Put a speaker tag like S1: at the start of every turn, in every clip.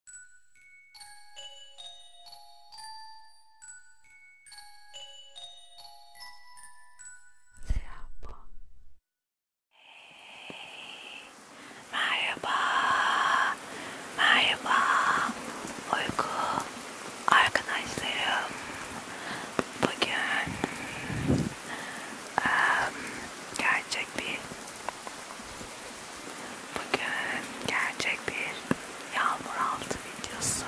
S1: Selam bu. Merhaba. Merhaba. Uyku arkadaşlarım. Bugün um, gerçek bir Bugün gerçek bir yağmur altı videosu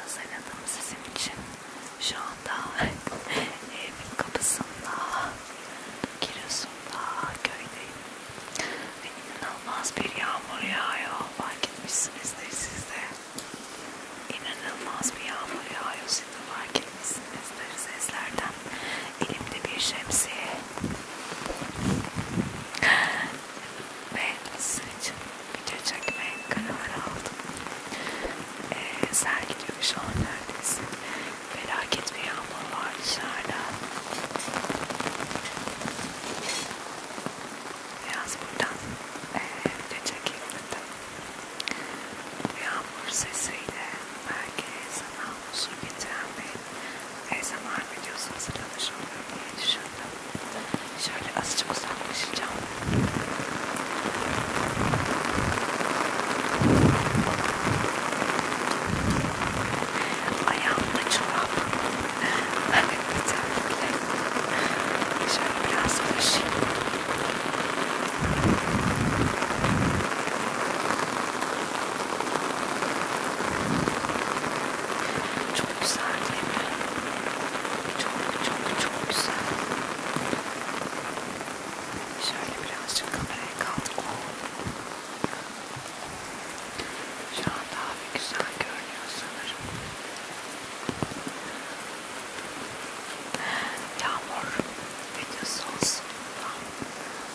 S1: hazırladım sizin için. Şu anda evimin kapısında, Giresun'da, köydeyim. Ve inanılmaz bir yağmur yağıyor. Fark etmişsinizdir siz de. İnanılmaz bir yağmur yağıyor. Siz de fark etmişsinizdir seslerden elimde bir şemsiye ve sizin için video çekmeye karar aldım. Ee, sel gidiyor şu an neredeyse. Felaket bir yağmur var dışarıda. Biraz buradan e, video çekeyim dedim. Yağmur sesiyle belki sana huzur getiren bir ASMR videosu hazırlamış oluyorum diye düşündüm. Şöyle azıcık uzaklaşacağım. Ayağımda çorap. Evet yeterli. Şöyle biraz ulaşayım. Çok güzel değil mi? Çok çok çok güzel. Şöyle birazcık kameraya kaldık. Oh. Şu an daha bir güzel görünüyor sanırım. Yağmur videosu olsun. Tamam.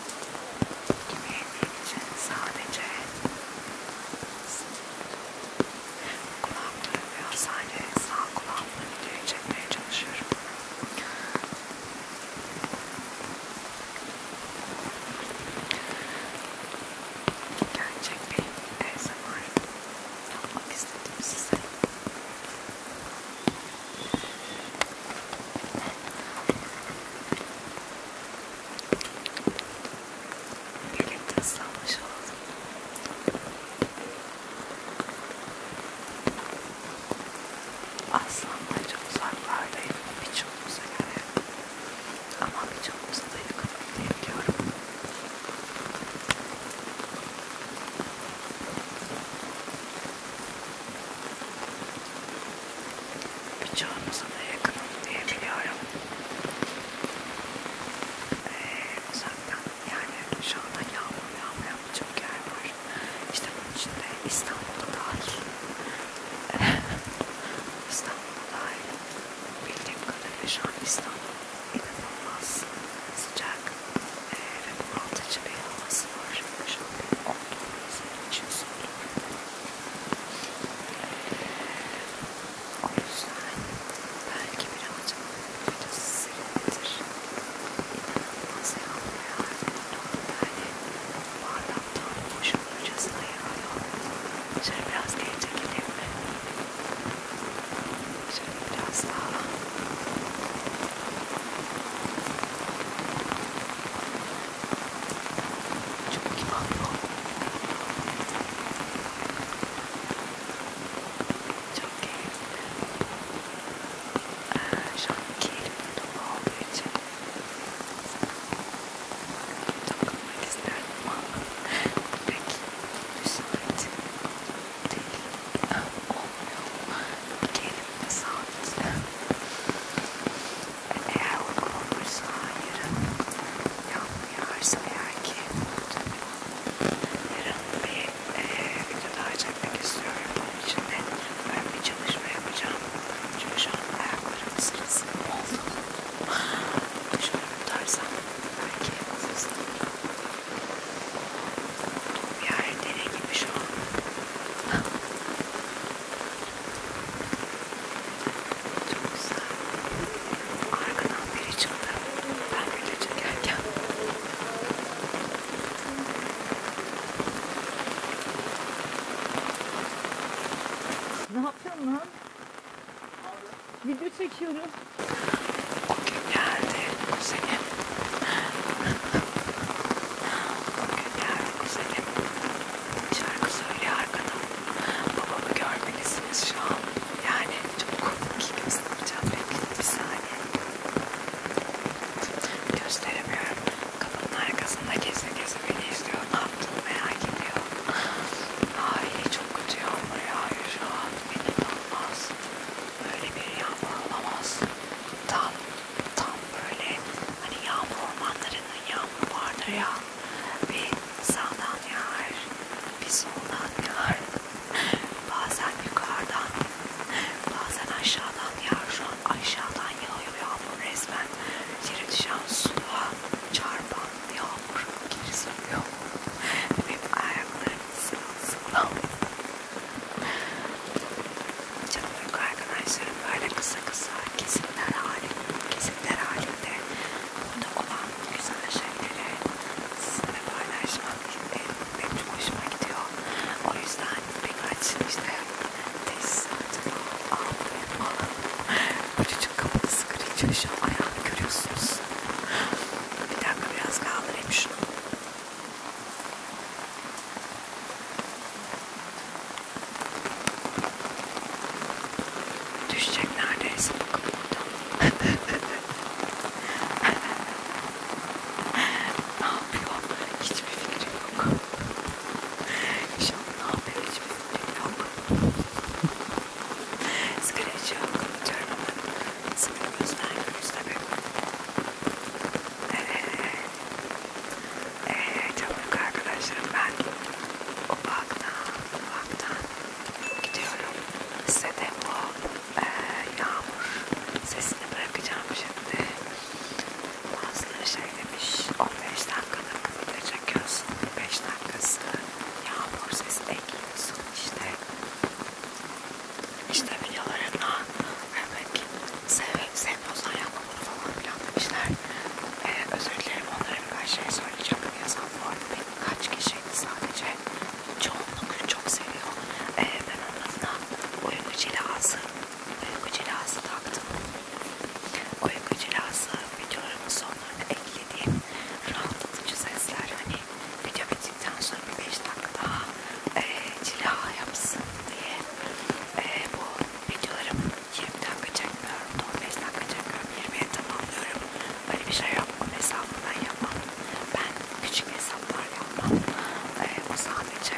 S1: yemeğim için sadece kulağım duymuyor. Sadece sağ kulağımla videoyu çekmeye çalışıyorum. Gerçek bir ASMR yapmak istedim size. Birlikte ıslanmış olduk. Aslında çok uzaklardayım birçoğumuza göre. Ama birçoğumuza da yakın diyebiliyorum bıçağınıza da yakınım diyebiliyorum. Ee, zaten yani şu anda hani yağmur yağmayan birçok yer var. İşte bunun içinde İstanbul'da dahil. İstanbul'da dahil. Bildiğim kadarıyla şu an İstanbul inanılmaz sıcak ee, ve bunaltıcı bir havası var. Şu an benim olduğum için soğuk. O yüzden belki birazcık biraz serindir. İnanılmaz yağmur yağar. Bardaktan boşalırcasına yağıyor. Şöyle biraz geri çekelim mi? Şöyle biraz daha. Şöyle çok kim alıyor? Çok keyifli. Ee, şu an keyifli durum olduğu için takılmak isterdim ama pek müsait değil. Olmuyor. Keyifli, sağlıklı eğer uygun olursa yarın yağmur yağarsa eğer ki yarın bir e, video daha çekmek istiyorum. Bunun için de ben bir çalışma yapacağım. Çünkü şu an ayaklarım sırası oldu. Şöyle tutarsam belki hızlı bir yer dere gibi şu an. Çok güzel. Arkadan biri çıktı. Ben bile çekerken. Ne yapıyorsun lan? Video çekiyorum. O gün geldi kuzenim. O gün geldi kuzenim şarkı söylüyor arkada. Babamı görmelisiniz şu an. Yani çok komik göstereceğim. Bekleyin bir saniye. Gösteremiyorum. Kapının arkasında geze geze beni izliyor. Ne yaptığını merak ediyor. Aile çok kötü yağmur yağıyor şu an. Beni tanımaz. Böyle bir yağmur olamaz. Tam tam böyle hani yağmur ormanlarının yağmur vardır ya bir sağdan yağar bir soldan yağar bazen yukarıdan bazen aşağıdan yağar şu an aşağıdan yağıyor yağmur resmen yere düşen suya çarpan yağmur geri sürüyor benim ayaklarım sıvı sıvı Canım uyku arkadaşlarım böyle kısa kısa kesimler halinde, kesimler halinde burada olan güzel şeyleri sizinle paylaşmak benim çok hoşuma gidiyor. O yüzden birkaç işte tesisatımı aldım falan. Bu çocuk kapıda sıkırıyor şu ayağını görüyorsunuz. Bir dakika biraz kaldırayım şunu. Düşecek neredeyse bakın buradan. ne yapıyor? Hiçbir fikrim yok. Şu an ne yapıyor? Hiçbir fikrim yok. Sıkıcı yok. Diyorum ama sıkı gözler gözle bir. Evet. Evet çabuk arkadaşlarım ben ufaktan ufaktan gidiyorum. Size de bu e, yağmur sesini bırakacağım şimdi. Bazıları şey demiş 15 dakikalık video çekiyorsun. 5 dakikası yağmur sesi ekliyorsun işte. İşte videolarına Evet. Seve, sevmiyorsan yapma bunu falan filan demişler. Ee, özür dilerim onlara birkaç şey söyleyeceğim. Yazan bu arada benim kaç kişiydi sadece. Çoğunluk çok seviyor. Ee, ben onlarına uyku cilası, uyku cilası taktım. Uyku cilası videolarımın sonlarına eklediğim rahatlatıcı sesler. Hani video bittikten sonra bir 5 dakika daha e, cila yapsın diye e, bu videolarım 20'den kaçakmıyorum, 15'den kaçakmıyorum, 20'ye tamamlıyorum. Böyle bir şey yapmam, hesabından yapmam. Ben küçük hesaplar yapmam. E, bu sadece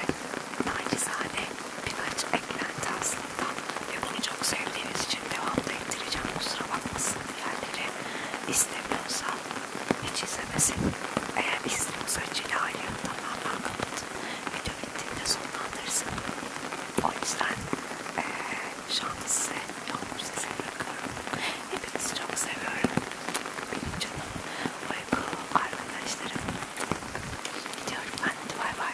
S1: nacizane birkaç eklenti aslında. Ve bunu çok sevdiğiniz için devamlı ettireceğim. Kusura bakmasın diğerleri. İstemiyorsa hiç izlemesin. Eğer istiyorsa Cilay'ı tamamen kapatın video bittiğinde sonlandırırsın. O yüzden ee, şu anda size yağmur sesi bırakıyorum. Hepinizi çok seviyorum. Benim canım, uyku, arkadaşlarım. Gidiyorum ben. Hadi bay bay.